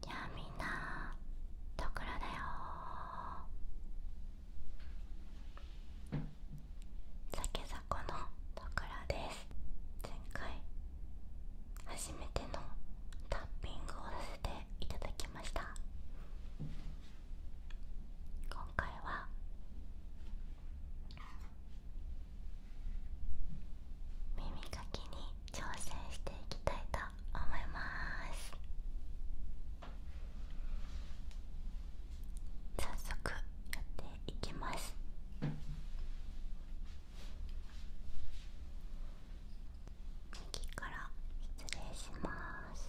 じあみんなところだよ酒ざのとです前回初めてのタッピングをさせていただきました今回は耳かきに挑戦していきたいと思います早速やっていきます次から失礼します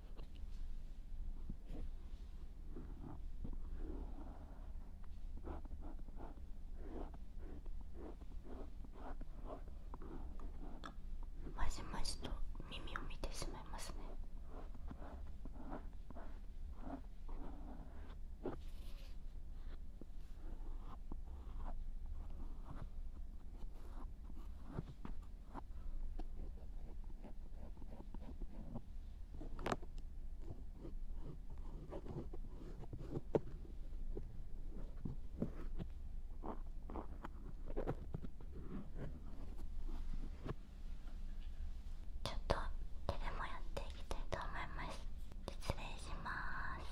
まじまじと耳を見てしまいますねちょっと手でもやっていきたいと思います失礼します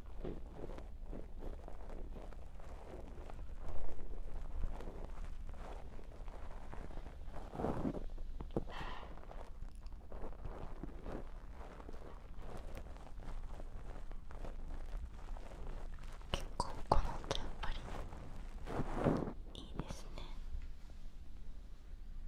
結構この音やっぱりいいですね。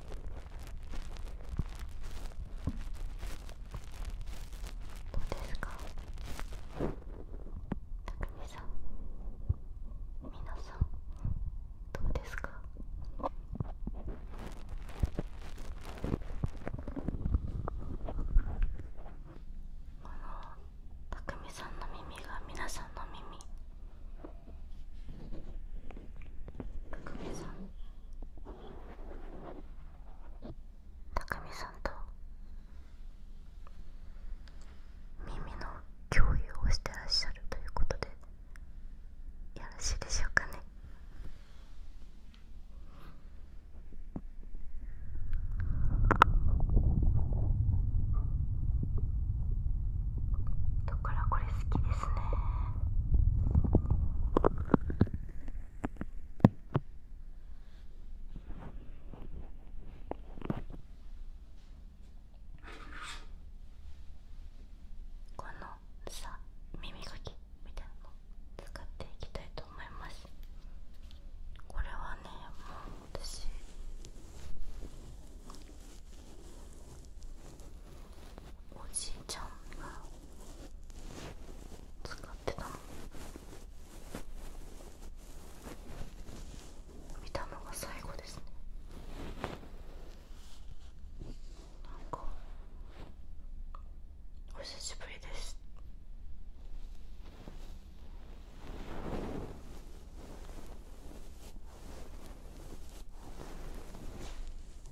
どうですかたくみさんみなさんどうですかあのたくみさんの耳がみなさんの耳たくみさんたくさんと耳の共有をしてらっしゃるということでよろしいでしょうかねだからこれ好きですこのさ耳かきみたいなの使っていきたいと思いますこれはねもう私おじいちゃんが使ってたの見たのが最後ですねなんかお久しぶりです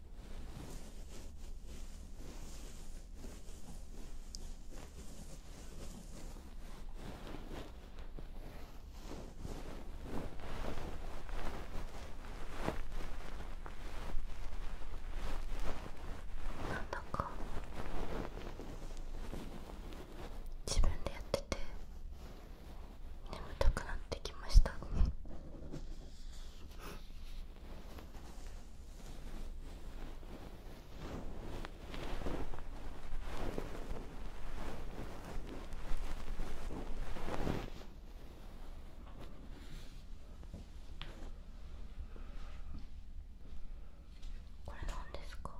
なんだか自分でやってて眠たくなってきましたこれなんですか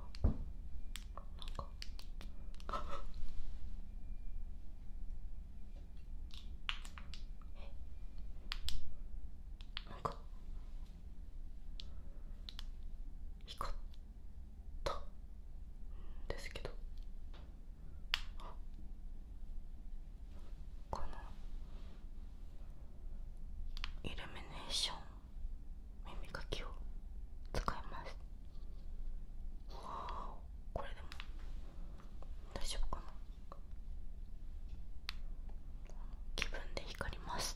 なんか光ったんですけどこのイルミネーション耳かきを使いますわこれでも大丈夫かな気分で光ります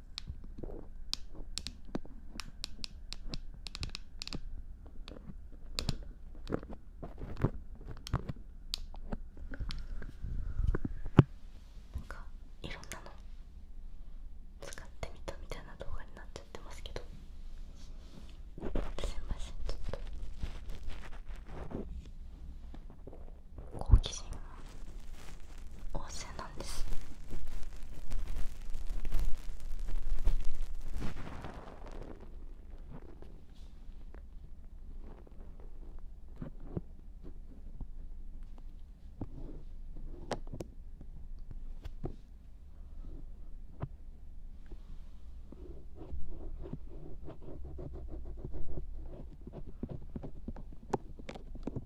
なんかいろんなの使ってみたみたいな動画になっちゃってますけどすいませんちょっと好奇心旺盛なんです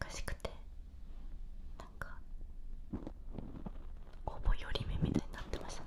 難しくてなんかほぼ寄り目みたいになってましたね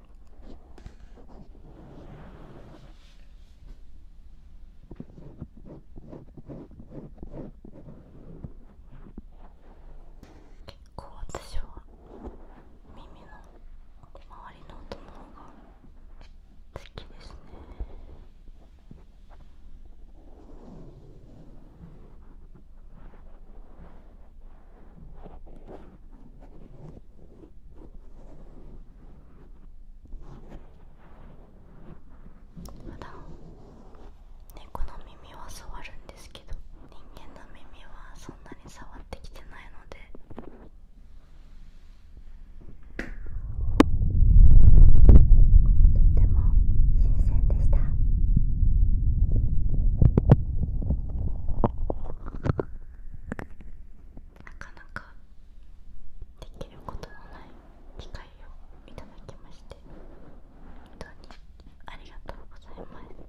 結構私は耳の周りの音の方が好きですね普ん。猫の耳は触るんですけど人間の耳はそんなに触ってきてないので。とても新鮮でした。なかなかできることのない機会をいただきまして本当にありがとうございます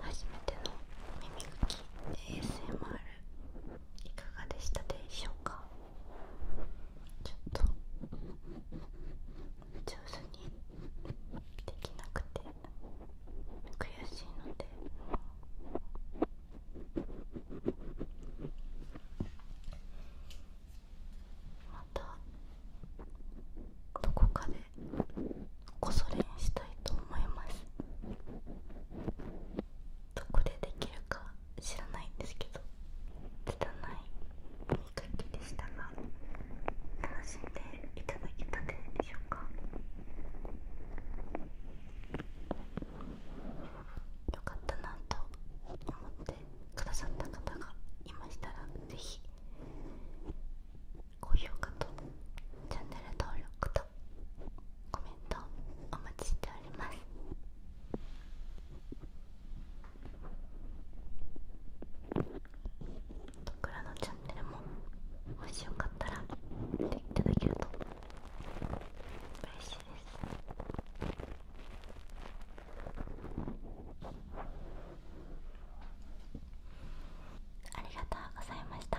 初めての耳かき ASMR いかがでしたでしょうかちょっと上手にできなくて悔しいのでまたどこかでこそにしたいと思いますどこでできるか知らないんですけど拙い耳かきでしたが楽しんでいただけたでしょうかよかったなと思ってくださった方がいましたらぜひ高評価とチャンネル登録とコメントお待ちしております僕らのチャンネルももしよかったら見ていただけるとう嬉しいですありがとうございました